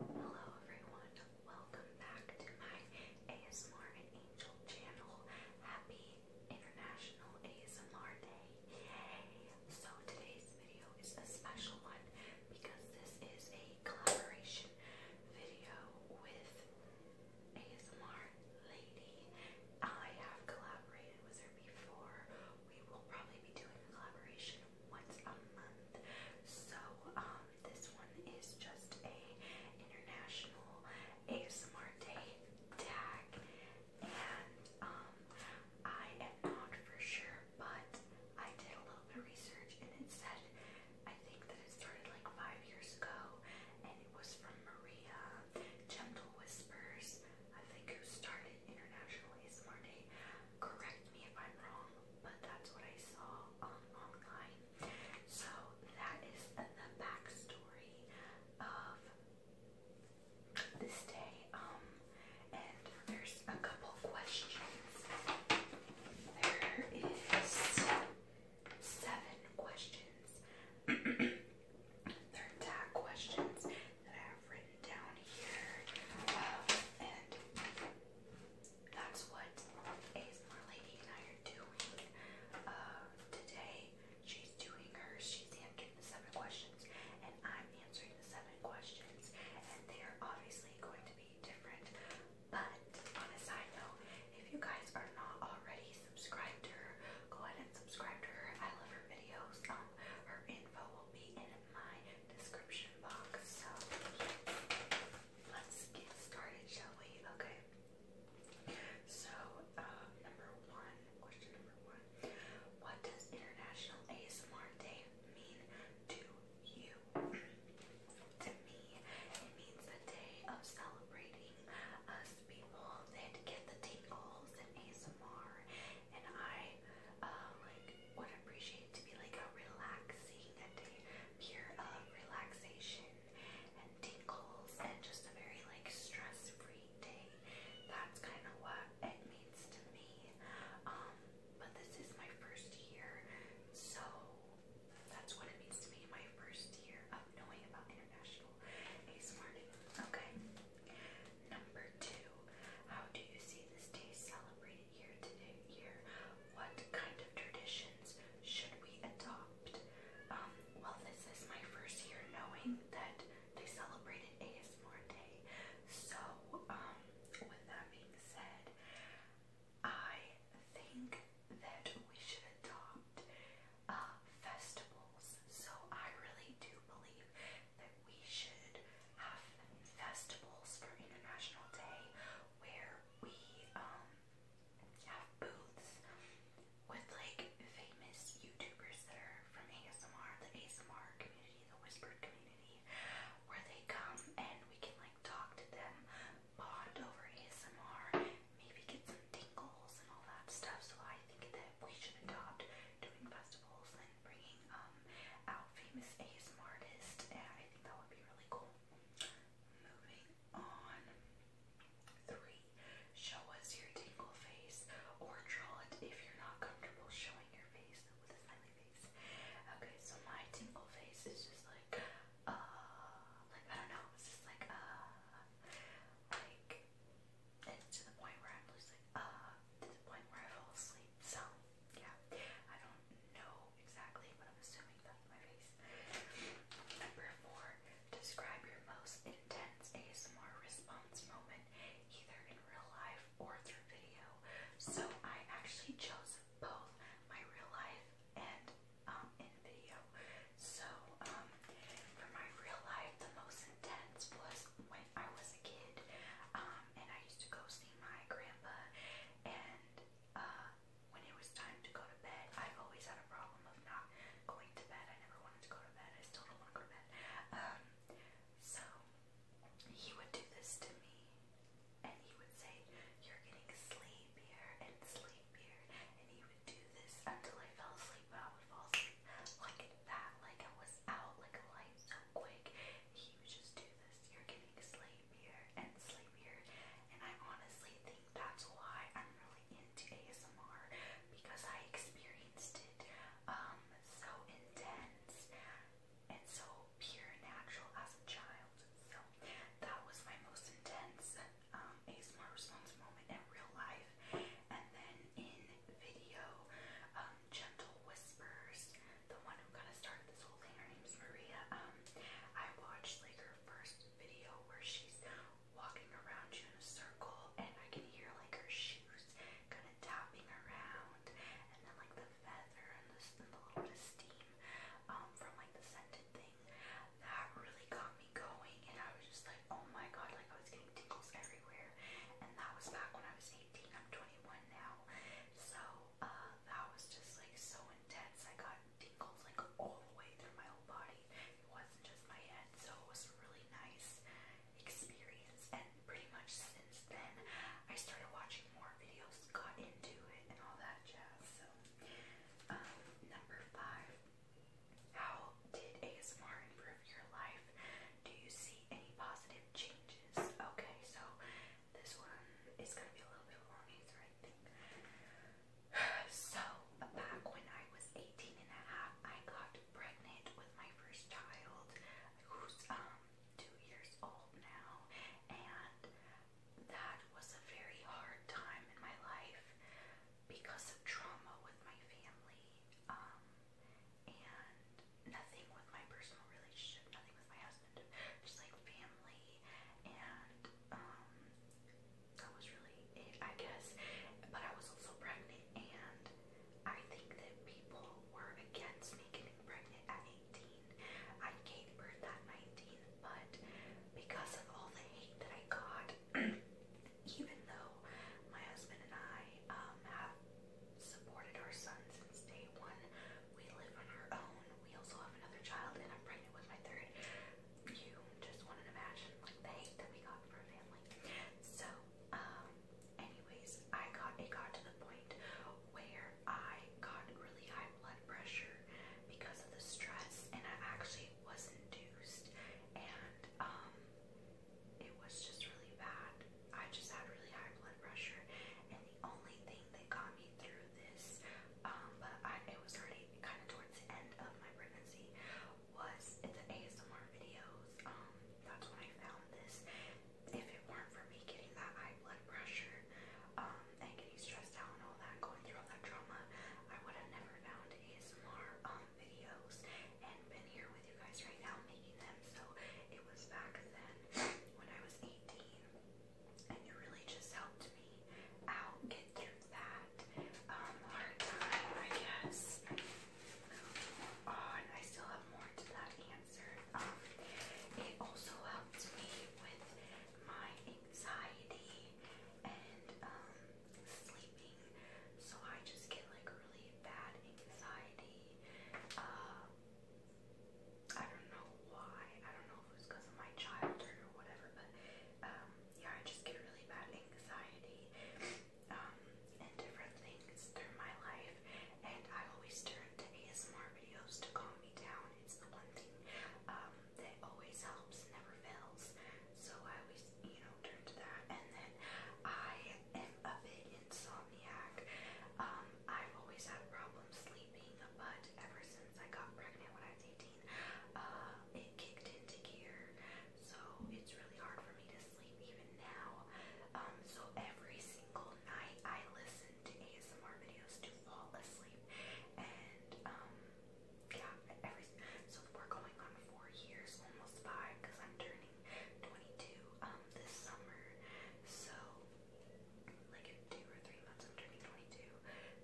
Hello everyone, welcome back to my ASMR Angel channel. Happy International ASMR Day. Yay! So today's video is a special one because this is a collaboration video with ASMR Lady. I have collaborated with her before. We will probably be doing a collaboration once a month. So um, this one is just a international ASMR day tag, and um, I am not for sure, but I did a little bit of research, and it said I think that it started like five years ago, and it was from Maria Gentle Whispers, I think, who started International ASMR Day correct me if I'm wrong, but that's what I saw um, online. So that is the backstory of this day. Um, and there's a couple questions. There is seven questions. They're questions that I have written down here. Um, and that's what ASMR Lady and I are doing uh, today. She's doing hers. She's answering the seven questions, and I'm answering the seven questions. And they are obviously going to be different. But on a side note, if you guys are not already subscribed to her, go ahead and subscribe to her. I love her videos. Um, her info will be in my description box. So let's get started, shall we? Okay. So, uh, number one, question number one. What does International ASMR Day mean to you? to me, it means the day of celebrating us people that get the tingles and ASMR. And I uh, like would appreciate to be like a relaxing, day pure uh, relaxation and tingles and just a very like stress-free day. That's kind of what it means to me. Um, but this is my first year, so that's what it means to me. My first year of knowing about international ace morning. Okay. Number two, how do you see this day celebrated? year to year, what kind of traditions should we adopt? Um, well, this is my first year knowing that they celebrated ASMR Day. So, um, with that being said, I think that we should adopt uh, festivals. So, I really do believe that we should have festivals for International Day where we um have booths with like famous YouTubers that are from ASMR, the ASMR community, the whispered community, where they come and we can like talk to them, bond over ASMR, maybe get some tingles and all that stuff. So I think that we should adopt doing festivals bringing um, out famous ASMR artists, I think that would be really cool. Moving on. Three, show us your tingle face or draw it if you're not comfortable showing your face with a smiley face. Okay, so my tingle face is just like, uh, like I don't know, it's just like, uh, like, to the point where I'm just like, uh, to the point where I fall asleep. So, yeah, I don't know exactly, but I'm assuming that's my face. Number four, describe your most intense ASMR response moment, either in real life or through video. So, I actually chose both my real life and um, in video. So, um, for my real life, the most intense was when I was a kid, um, and I used to go see my grandpa, and uh, when it was time to go to bed, I always had a problem of not going to bed. I never wanted to go to bed. I still don't want to go to bed. Um, so he would do this to me, and he would say, "You're getting sleepier and sleepier," and he would do this until I fell asleep. But I would fall asleep like that, like I was out, like a light quick. He would just do this. You're getting sleepier and sleepier. And I honestly think that's why I'm really into ASMR because I experienced it um so intense and so pure natural as a child. So that was my most intense um ASMR response moment in real life. And then in video, um gentle whispers, the one who kind of started this whole thing. Her name's Maria. Um, I watched like her first video where she's walking around you in a circle, and I can hear like her shoes kind of tapping around, and then like the feather and the, little bit of steam um, from like the scented thing. That really got me going, and I was just like, oh my god, like I was getting tingles everywhere. And that was back when I was I'm 21 now. So uh, that was just like so intense. I got tingles like all the way through my whole body. It wasn't just my head, so it was really nice experience. And pretty much since then, I started watching more videos, got into it, and all that jazz. So, um, number five, how did ASMR improve your life? Do you see any positive changes? Okay, so this one is going to be a little bit of long answer, I think. So, back when I was 18 and a half, I got pregnant with my first child, who's um, two years old now, and that was a very hard time in my life because of trauma with my family. Um, and nothing with my personal relationship, nothing with my husband, just like family, and um, that was really it, I guess. But I was also pregnant, and I think that people were against me getting pregnant at 18. I gave birth at 19, but because of all the hate that I got, even though my husband and I um, have supported our son since day one. We live on our own. We also have another child, and I'm pregnant with my third. You just want to imagine like the hate that we got for a family. So, um, anyways, I got it got to the point where I got really high blood pressure because of the stress, and I actually was induced, and um, it was just really bad. I just had really high blood pressure, and the only thing that got me through this, um, but it was already kind of towards the end of my pregnancy, was the ASMR videos. Um, that's when I found this. If it weren't for me getting that high blood pressure, um, and getting stressed out and all that, going through all that trauma, I would have never found ASMR videos and been here with you guys right now making them. So it was back then when I was 18, and it really just helped me out get through that um, hard time, I guess. on, oh, I still have more to that answer. Um, it also helped me with my anxiety and um, sleeping. So I just get like really bad anxiety. Uh, I don't know why. I don't know if it was because of my childhood or whatever, but um, yeah, I just get really bad anxiety um, and different things through my life, and I always turn to ASMR videos to calm me down. It's the one thing um, that always helps, never fails. So I always, you know, turn to that, and then I am a bit insomniac. Um, I've always had problems sleeping, but ever since I got pregnant when I was 18, uh, it kicked into gear. So it's really hard for me to sleep even now. Um, so every single night I listen to ASMR videos to fall asleep, and um, yeah, so we're going on four years, almost five, because I'm turning 22 um this summer. So like two or three months I'm 22.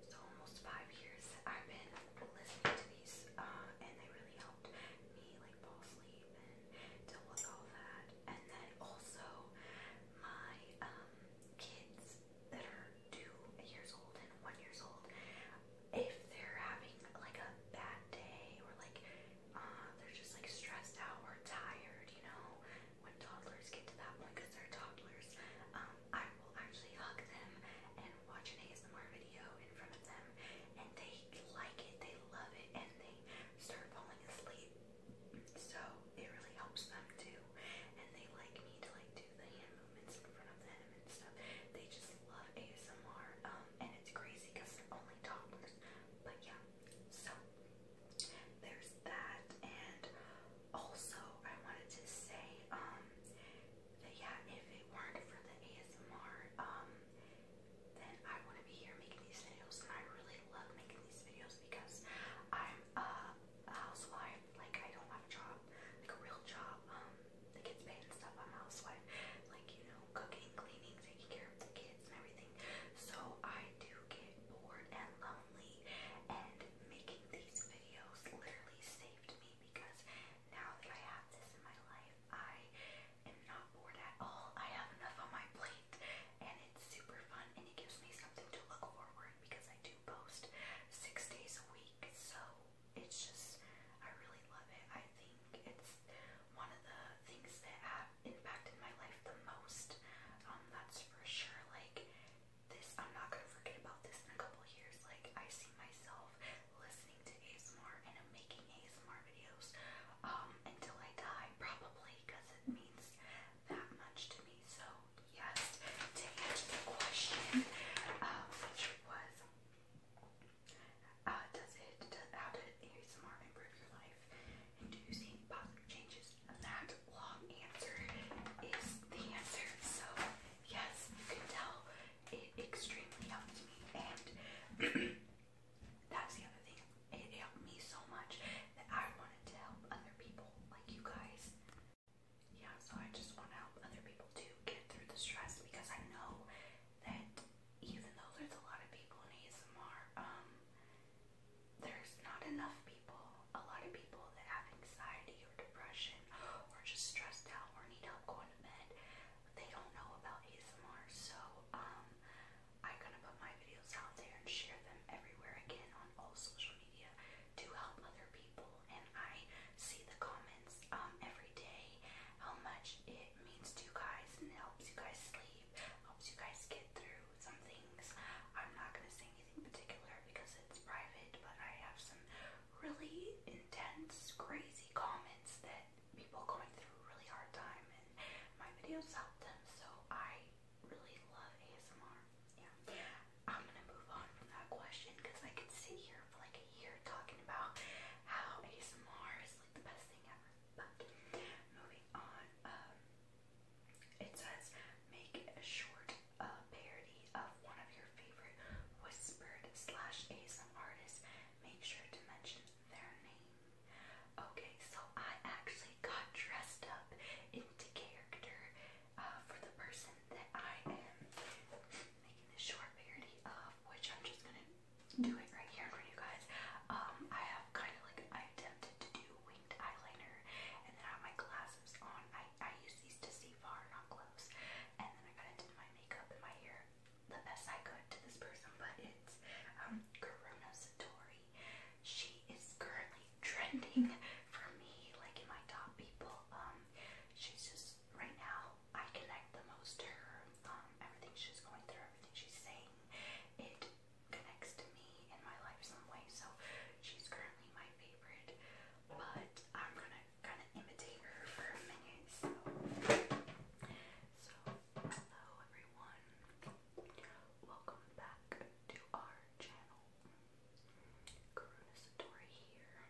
So almost five years I've been listening to these uh and they really helped me like fall asleep and deal with all that. And then also my um kids that are two years old and one years old, if they're having like a bad day or like Ah, they're just like stressed out or tired, you know, when toddlers get to that point because they're toddlers, um, I will actually hug them and watch an ASMR video in front of them, and they like it, they love it, and they start falling asleep. So it really helps them too, and they like me to like do the hand movements in front of them and stuff. They just love ASMR, um, and it's crazy because they're only toddlers. But yeah, so there's that, and also I wanted to say, um, that yeah, if it weren't for the ASMR, um, then I wouldn't be here making these videos, and I really love making these videos because I'm a housewife. Like I don't have a job, like a real job. Um, that gets paid and stuff. I'm a housewife. Like you know, cooking, cleaning, taking care of the kids and everything. So I do get bored and lonely and making these videos literally saved me because now that I have this in my life, I am not bored at all. I have enough on my plate and it's super fun and it gives me something to look forward because I do post six days a week. So it's just, I really love it. I think it's one of the things that have impacted my life the most. Um, that's for sure. Like this, I'm not gonna forget about this in a couple years. Like I see myself listening to ASMR and making am making videos um, until I die, probably, because it means that much to me. So yes, to answer the question, um, which was. Uh, does it, does, how did improve your life? And do you see positive changes? And that long answer is the answer. So, yes, you can tell it extremely helped me. And that's the other thing. It helped me so much that I wanted to help other people like you guys. Yeah, so I just want to help other people to get through the stress because I know that even though there's a lot of people in ASMR, um, there's not enough people, a lot of people that have anxiety or depression or just stressed out or need help going to bed, they don't know about ASMR. So, um, I'm gonna put my videos out there and share them everywhere again on all social media to help other people. And I see the comments um, every day how much it means to you guys and it helps you guys sleep, helps you guys get through some things. I'm not gonna say anything particular because it's private, but I have some really intense, crazy comments that people going through really hard time and my videos help them, so I really love ASMR. Yeah. I'm gonna move on from that question because I could sit here for like a year talking about how ASMR is like the best thing ever moving on, um, it says make a short uh, parody of one of your favorite whispered slash ASM artists. Make sure to mention their name. Okay, so I actually got dressed up into character uh, for the person that I am making this short parody of, which I'm just gonna doing right here for you guys. Um, I have kind of like I attempted to do winged eyeliner, and then I have my glasses on. I I use these to see far, not close. And then I kind of did my makeup and my hair the best I could to this person, but it's um Karuna Satori. She is currently trending for me, like in my top people. Um, she's just right now I connect the most to her. Um, everything she's going through, everything she's saying, it connects to me in my life some way. So she's currently my favorite, but I'm gonna kind of imitate her for a minute. So, so hello everyone, welcome back to our channel. Karuna Satori here.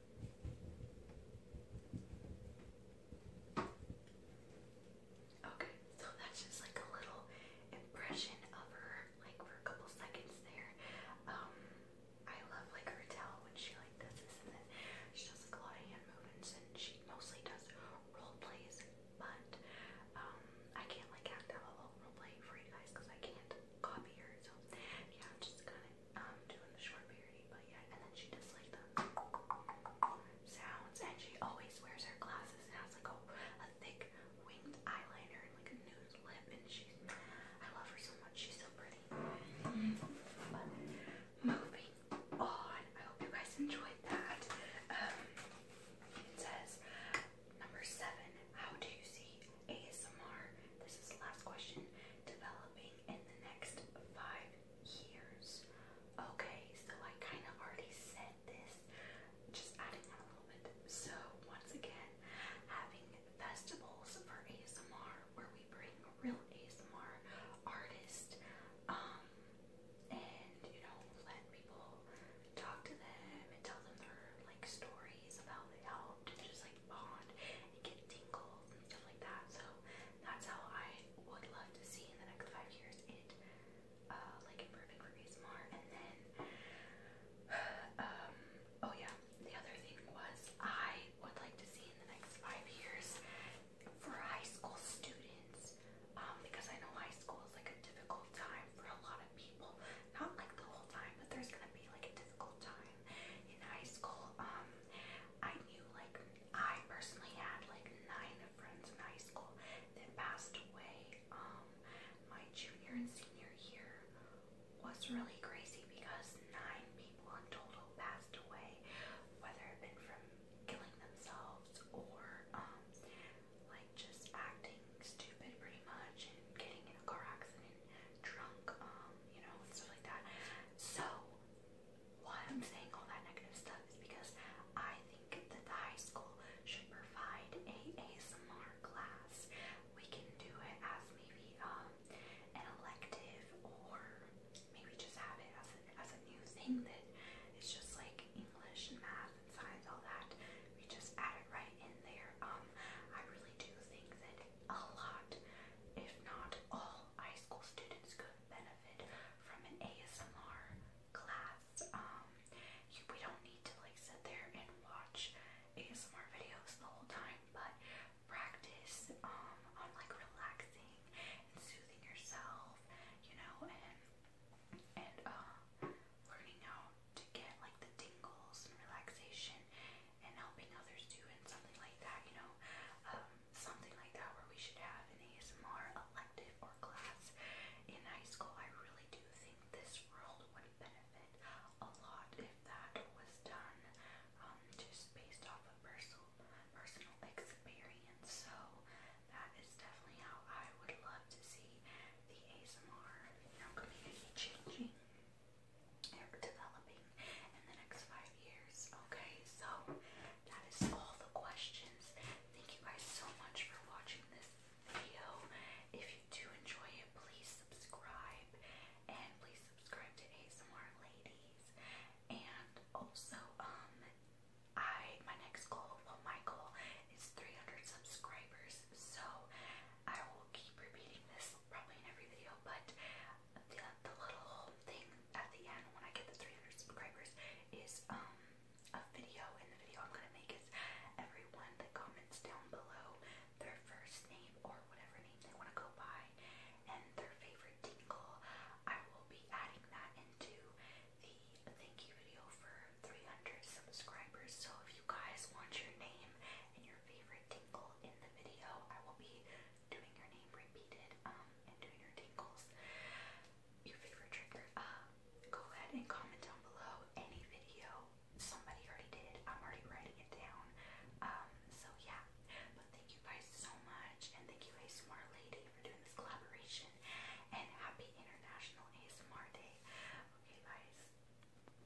Okay, so that's just like a little impression of her, like for a couple seconds there. Um, I love like her towel when she like does this, and then she does a lot of hand movements, and she mostly does role plays. But um, I can't like act out a little role play for you guys because I can't copy her. So yeah, just gonna um, do the short period, but yeah, and then she does like the sounds, and she always wears her glasses and has like a, a thick winged eyeliner and like a nude lip, and she's, I love her so much, she's so pretty. moving on, I hope you guys enjoyed that. Um, it says, number seven, how do you see ASMR. This is the last question. Developing in the next five years. Okay, so I kind of already said this, just adding on a little bit. So, once again, having festivals for ASMR where we bring real ASMR artists, um, and you know, let people talk to them and tell them their like stories about how and just like bond and get tingles and stuff like that. So that's how I would love to see in the next five years it uh, like improving for ASMR. And then, um, oh yeah, the other thing was I would like to see in the next five years for high school students um, because I know high school is like a difficult time for a lot of people. Not like the whole time, but there's gonna be like a difficult time in high school. Um, I knew like I personally had like nine friends in high school that passed away. Um, my junior and senior year was really crazy because nine people in total passed away, whether it been from killing themselves or um like just acting stupid pretty much and getting in a car accident drunk um you know, stuff like that. So, why I'm saying all that negative stuff is because I think that the high school should provide a ASMR class. We can do it as maybe um, an elective or maybe just have it as as a new thing that it's just like English math and science, all that. We just add it right in there. Um, I really do think that a lot, if not all, high school students could benefit from an ASMR class. Um, you, we don't need to like sit there and watch ASMR videos the whole time, but practice um, on like relaxing and soothing yourself, you know, and and uh, learning how to get like the tingles and relaxation and helping others too, and something like that, you know, um, something like that where we should have an ASMR elective or class in high school. I really do think this world would benefit a lot if that was done, um, just based off of personal personal experience. So that is definitely how I would love to see the ASMR community changing developing in the next five years. Okay, so that is all the questions. Thank you guys so much for watching this video. If you do enjoy it, please subscribe and please subscribe to ASMR Ladies. And also, um, I my next goal, well, my goal is 300 subscribers. So I will keep repeating this probably in every video, but the, the little thing at the end when I get the 300 subscribers is um a video, and the video I'm gonna make is everyone that comments down below their first name or whatever name they want to go by and their favorite tingle. I will be adding that into the thank you video for 300 subscribers. So if you guys want your name and your favorite tingle in the video. I will be doing your name repeated um, and doing your tingles. Your favorite trigger. Uh, go ahead and comment down below any video. Somebody already did. I'm already writing it down. Um, so yeah. But thank you guys so much, and thank you a smart Lady for doing this collaboration. And happy International ASMR Day. Okay, guys.